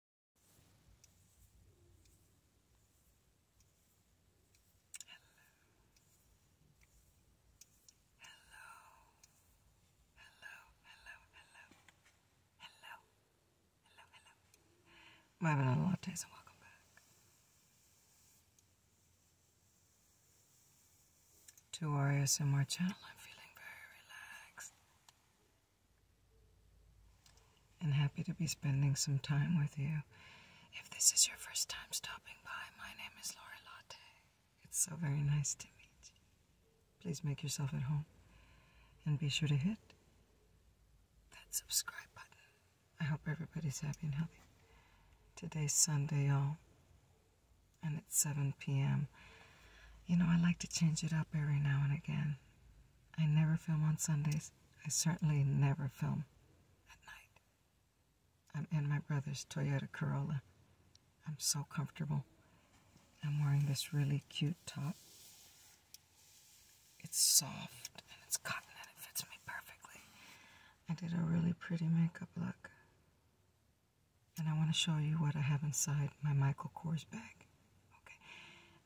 Hello. Hello. Hello. Hello. Hello. Hello. Hello. My banana lattes and welcome back. To our ASMR channel, I'm feeling very relaxed and happy to be spending some time with you. If this is your first time stopping by, my name is Laura Latte. It's so very nice to meet you. Please make yourself at home and be sure to hit that subscribe button. I hope everybody's happy and healthy. Today's Sunday, y'all, and it's 7 p.m. You know, I like to change it up every now and again. I never film on Sundays. I certainly never film at night. I'm in my brother's Toyota Corolla. I'm so comfortable. I'm wearing this really cute top. It's soft and it's cotton and it fits me perfectly. I did a really pretty makeup look. And I want to show you what I have inside my Michael Kors bag. Okay.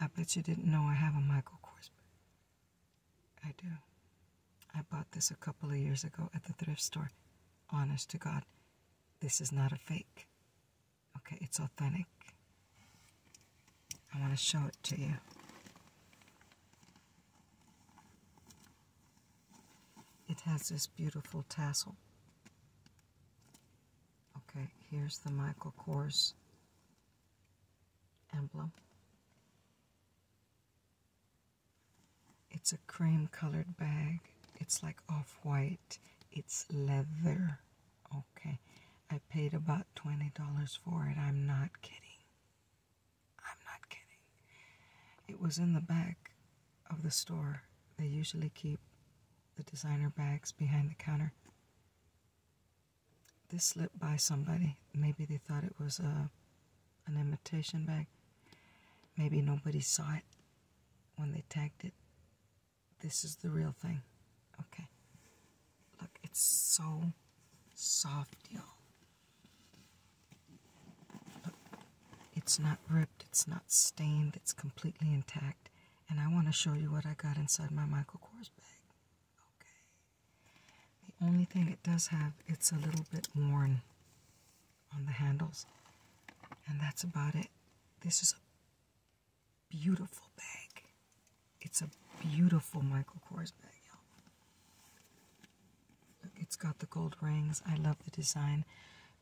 I bet you didn't know I have a Michael Kors I do. I bought this a couple of years ago at the thrift store. Honest to God, this is not a fake. Okay, it's authentic. I want to show it to you. It has this beautiful tassel. Okay, here's the Michael Kors emblem. It's a cream colored bag. It's like off white. It's leather. Okay. I paid about $20 for it. I'm not kidding. I'm not kidding. It was in the back of the store. They usually keep the designer bags behind the counter. This slipped by somebody. Maybe they thought it was a, uh, an imitation bag. Maybe nobody saw it when they tagged it. This is the real thing. Okay. Look, it's so soft, y'all. It's not ripped, it's not stained, it's completely intact and I want to show you what I got inside my Michael Kors bag. Okay. The only thing it does have, it's a little bit worn on the handles, and that's about it. This is a beautiful bag. It's a beautiful Michael Kors bag, y'all. It's got the gold rings. I love the design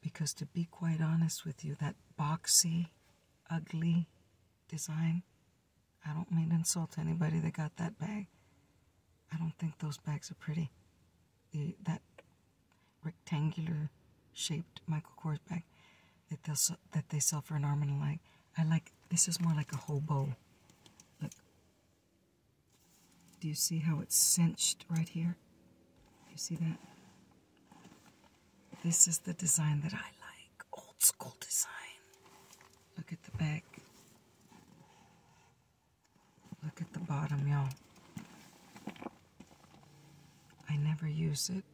because to be quite honest with you, that boxy, ugly design. I don't mean to insult anybody that got that bag. I don't think those bags are pretty. The that rectangular shaped Michael Kors bag that they that they sell for an arm and a leg. I like this is more like a hobo. Look. Do you see how it's cinched right here? You see that? This is the design that I like. Old school design. Look at the back. Look at the bottom, y'all. I never use it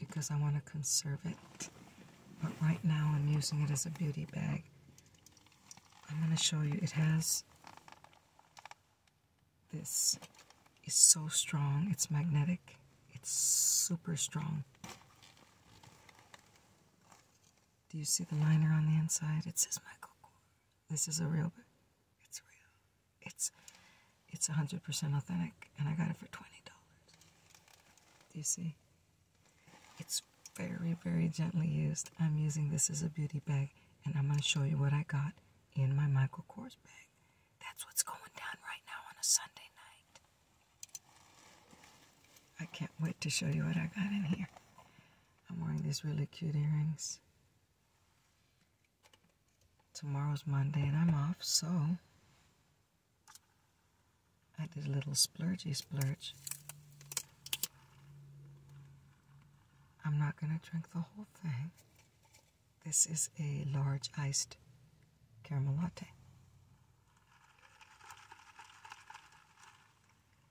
because I want to conserve it. But right now I'm using it as a beauty bag. I'm going to show you. It has this. is so strong. It's magnetic. It's super strong. Do you see the liner on the inside? It says Michael Kors. This is a real book. It's real. It's it's 100% authentic, and I got it for $20. Do you see? It's very, very gently used. I'm using this as a beauty bag, and I'm going to show you what I got in my Michael Kors bag. That's what's going down right now on a Sunday night. I can't wait to show you what I got in here. I'm wearing these really cute earrings. Tomorrow's Monday and I'm off, so I did a little splurgy splurge. I'm not going to drink the whole thing. This is a large iced caramel latte.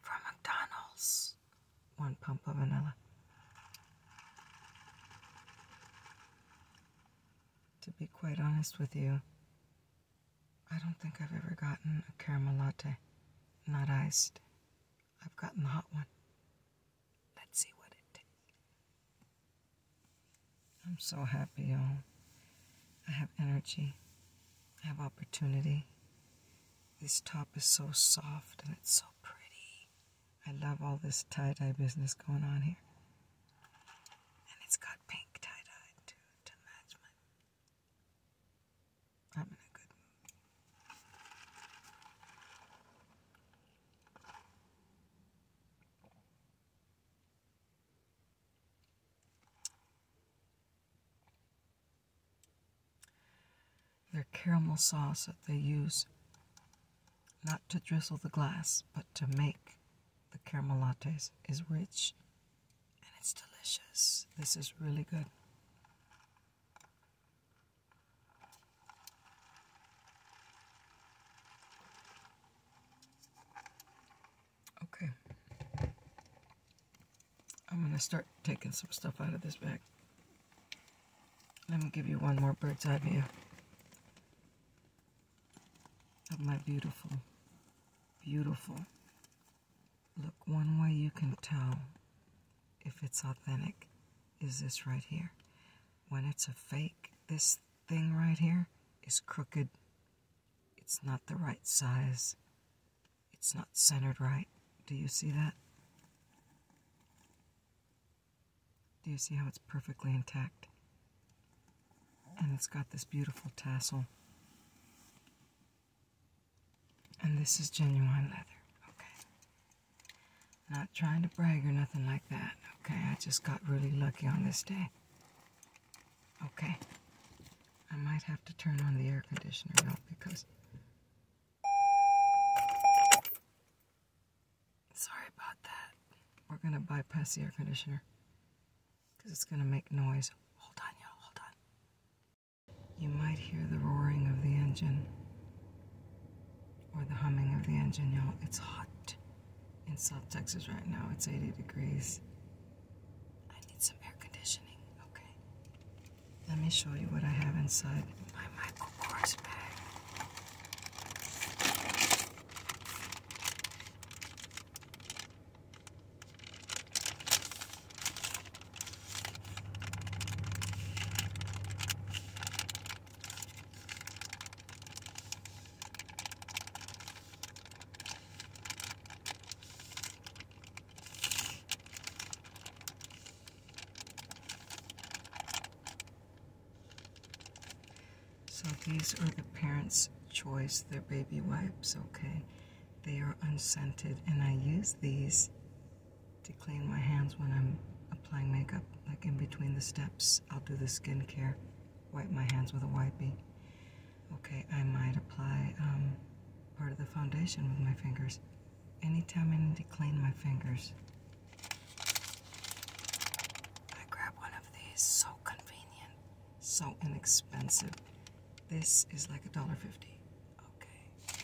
From McDonald's, one pump of vanilla. To be quite honest with you, I don't think I've ever gotten a caramel latte, not iced. I've gotten the hot one. Let's see what it tastes. I'm so happy, y'all. I have energy. I have opportunity. This top is so soft and it's so pretty. I love all this tie-dye business going on here. And it's got pink tie-dye too to match I'm in a good mood. The caramel sauce that they use not to drizzle the glass, but to make the caramelates is rich and it's delicious. This is really good. Okay. I'm going to start taking some stuff out of this bag. Let me give you one more bird's eye view of my beautiful, beautiful. Look, one way you can tell if it's authentic is this right here. When it's a fake, this thing right here is crooked. It's not the right size. It's not centered right. Do you see that? Do you see how it's perfectly intact? And it's got this beautiful tassel. And this is genuine leather, okay? Not trying to brag or nothing like that, okay? I just got really lucky on this day. Okay. I might have to turn on the air conditioner now because... Sorry about that. We're going to bypass the air conditioner because it's going to make noise. Hold on, y'all. Hold on. You might hear the roaring of the engine or the humming of the engine, y'all. It's hot in South Texas right now. It's 80 degrees. I need some air conditioning. Okay. Let me show you what I have inside my Michael Kors bag. So these are the parents' choice, their baby wipes, okay? They are unscented, and I use these to clean my hands when I'm applying makeup, like in between the steps. I'll do the skincare wipe my hands with a wipey. Okay, I might apply um, part of the foundation with my fingers. Anytime I need to clean my fingers, I grab one of these. So convenient, so inexpensive. This is like a dollar fifty. Okay.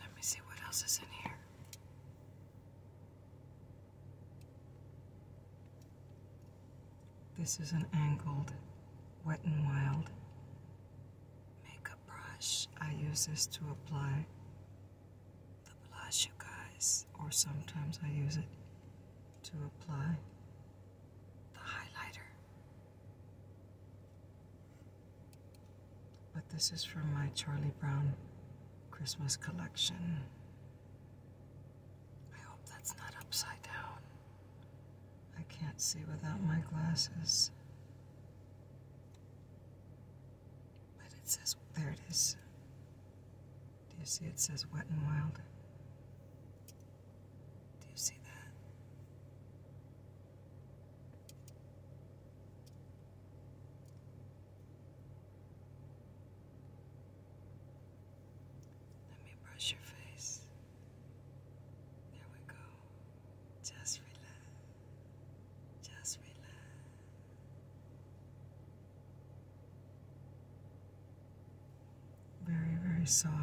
Let me see what else is in here. This is an angled Wet n Wild makeup brush. I use this to apply the blush, you guys, or sometimes I use it to apply the highlighter. But this is from my Charlie Brown Christmas collection. I hope that's not upside down. I can't see without my glasses. But it says, there it is. Do you see it says wet and wild? Do you see that? Let me brush your face. There we go. Just relax. Just relax. Very, very soft.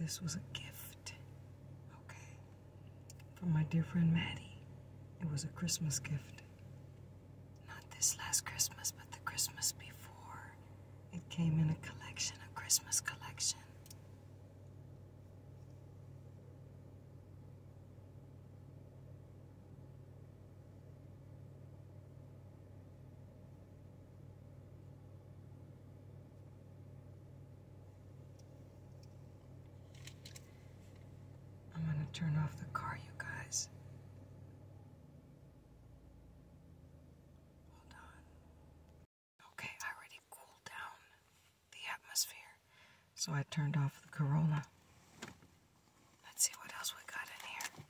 This was a gift. Okay. From my dear friend Maddie. It was a Christmas gift. Not this last Christmas, but the Christmas before. It came in a collection, a Christmas collection. I'm gonna turn off the car, you guys. Hold on. Okay, I already cooled down the atmosphere, so I turned off the Corolla. Let's see what else we got in here.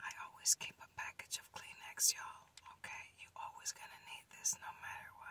I always keep a package of Kleenex, y'all. Okay, you always gonna need this no matter what.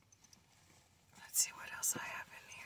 Let's see what else I have in here.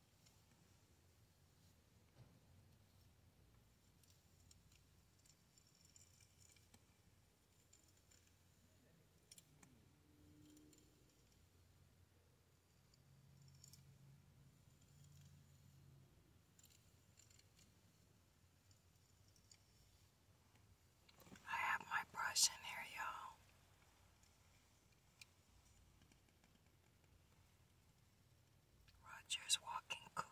I have my brush in here, y'all. Roger's walking cookie.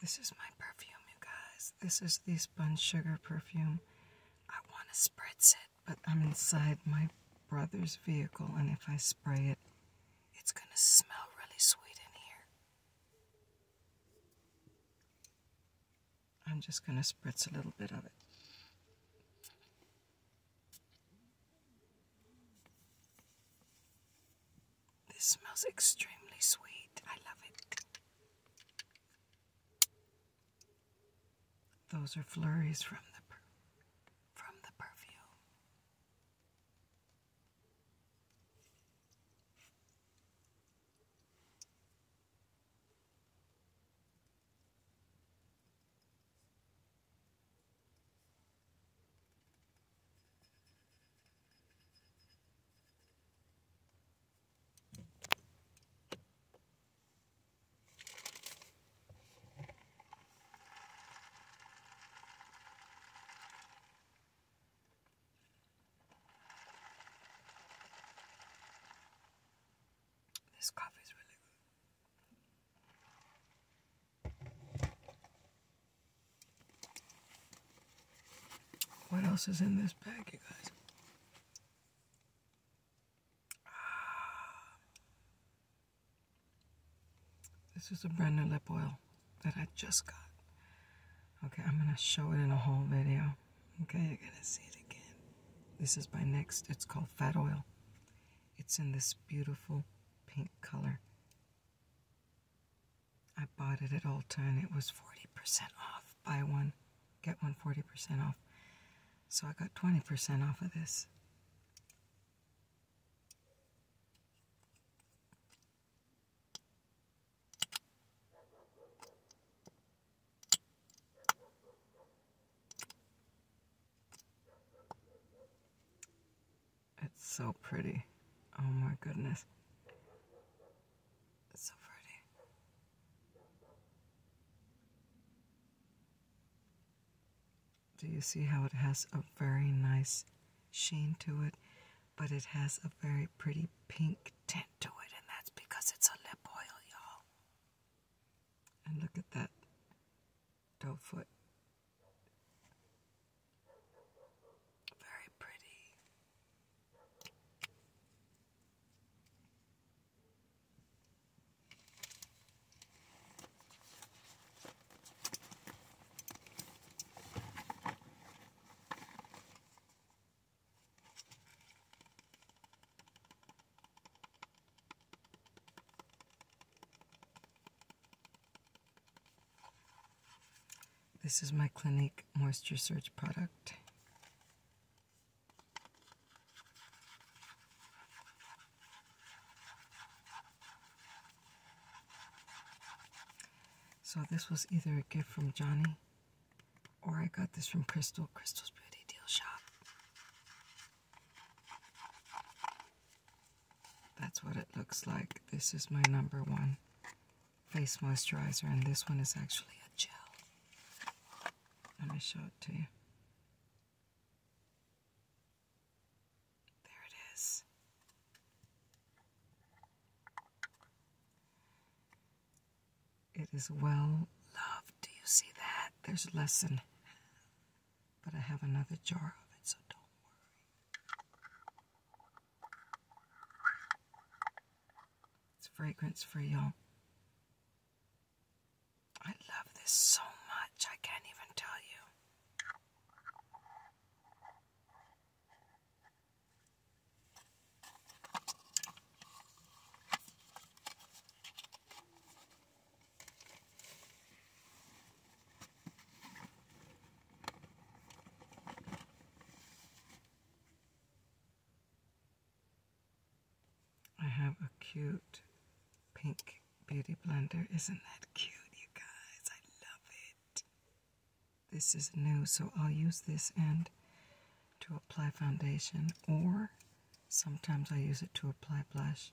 This is my perfume, you guys. This is the Sponge Sugar perfume. I want to spritz it, but I'm inside my brother's vehicle, and if I spray it, it's going to smell really sweet in here. I'm just going to spritz a little bit of it. This smells extremely sweet. I love it. Those are flurries from the from the perfume. This coffee is really good. What else is in this bag, you guys? Ah. This is a brand new lip oil that I just got. Okay, I'm gonna show it in a whole video. Okay, you're gonna see it again. This is my Next. It's called Fat Oil. It's in this beautiful pink color. I bought it at Ulta and it was 40% off. Buy one, get one 40% off. So I got 20% off of this. It's so pretty. Oh my goodness. so pretty. Do you see how it has a very nice sheen to it? But it has a very pretty pink tint to it, and that's because it's a lip oil, y'all. And look at that dog foot. Very pretty. This is my Clinique Moisture Surge product. So this was either a gift from Johnny or I got this from Crystal, Crystal's Beauty Deal Shop. That's what it looks like. This is my number one face moisturizer, and this one is actually a gel. Let me show it to you. There it is. It is well loved. Do you see that? There's a lesson but I have another jar of it, so don't worry. It's fragrance free, y'all. I love this so much, I can't even tell you. I have a cute pink beauty blender. Isn't that cute, you guys? I love it. This is new, so I'll use this end to apply foundation, or sometimes I use it to apply blush.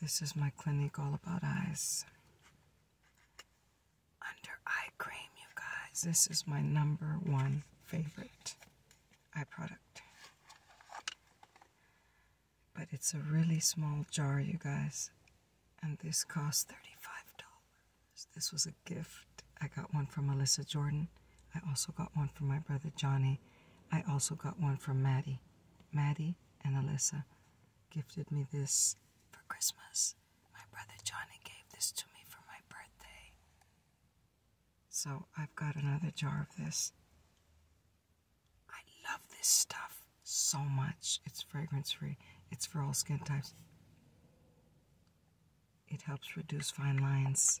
This is my clinic all about eyes. Under eye cream, you guys. This is my number one favorite eye product. But it's a really small jar, you guys. And this cost $35. This was a gift. I got one from Melissa Jordan. I also got one from my brother Johnny. I also got one from Maddie. Maddie and Alyssa gifted me this for Christmas. My brother Johnny gave this to me for my birthday. So I've got another jar of this. I love this stuff so much. It's fragrance free, it's for all skin types. It helps reduce fine lines.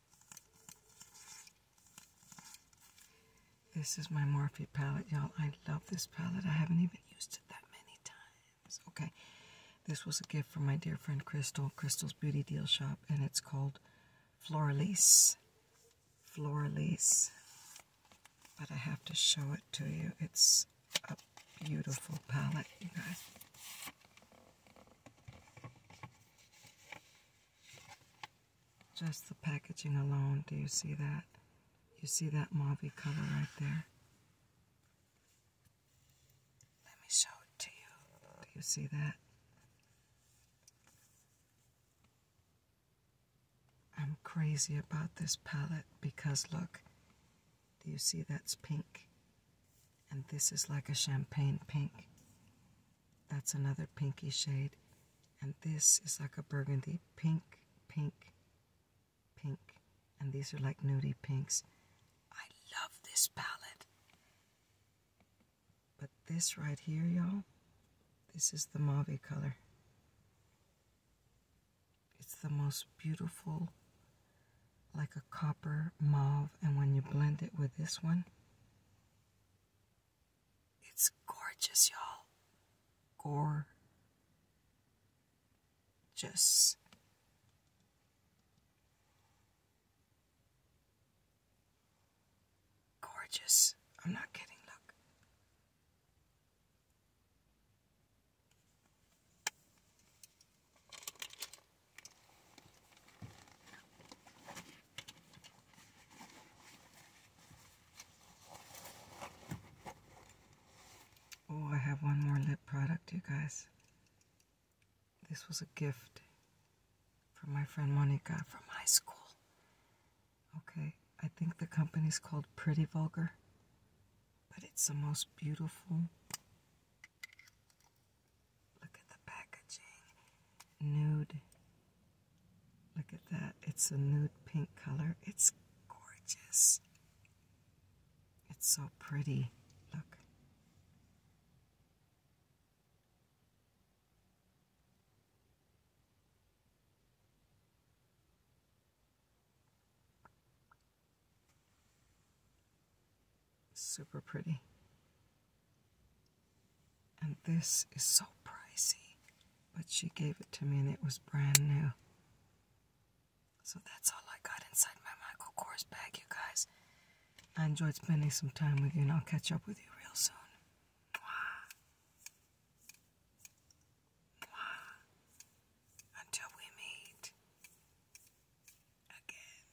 This is my Morphe palette, y'all. I love this palette. I haven't even used it that many times. Okay, this was a gift from my dear friend Crystal, Crystal's Beauty Deal Shop, and it's called Floralise. Floralise. But I have to show it to you. It's a beautiful palette, you guys. Just the packaging alone, do you see that? You see that mauve color right there? Let me show it to you. Do you see that? I'm crazy about this palette because look, do you see that's pink? And this is like a champagne pink. That's another pinky shade. And this is like a burgundy pink, pink, pink. And these are like nudie pinks. I love this palette. But this right here, y'all, this is the mauve color. It's the most beautiful, like a copper mauve. And when you blend it with this one, it's gorgeous, y'all. Gore. Just. Gorgeous. I'm not kidding. Look. Oh, I have one more lip product, you guys. This was a gift from my friend Monica from high school. Okay, I think the company's called Pretty Vulgar, but it's the most beautiful Look at the packaging. Nude. Look at that. It's a nude pink color. It's gorgeous. It's so pretty. Look. Super pretty. And this is so pricey, but she gave it to me and it was brand new. So that's all I got inside my Michael Kors bag, you guys. I enjoyed spending some time with you, and I'll catch up with you real soon. Mwah. Mwah. Until we meet again.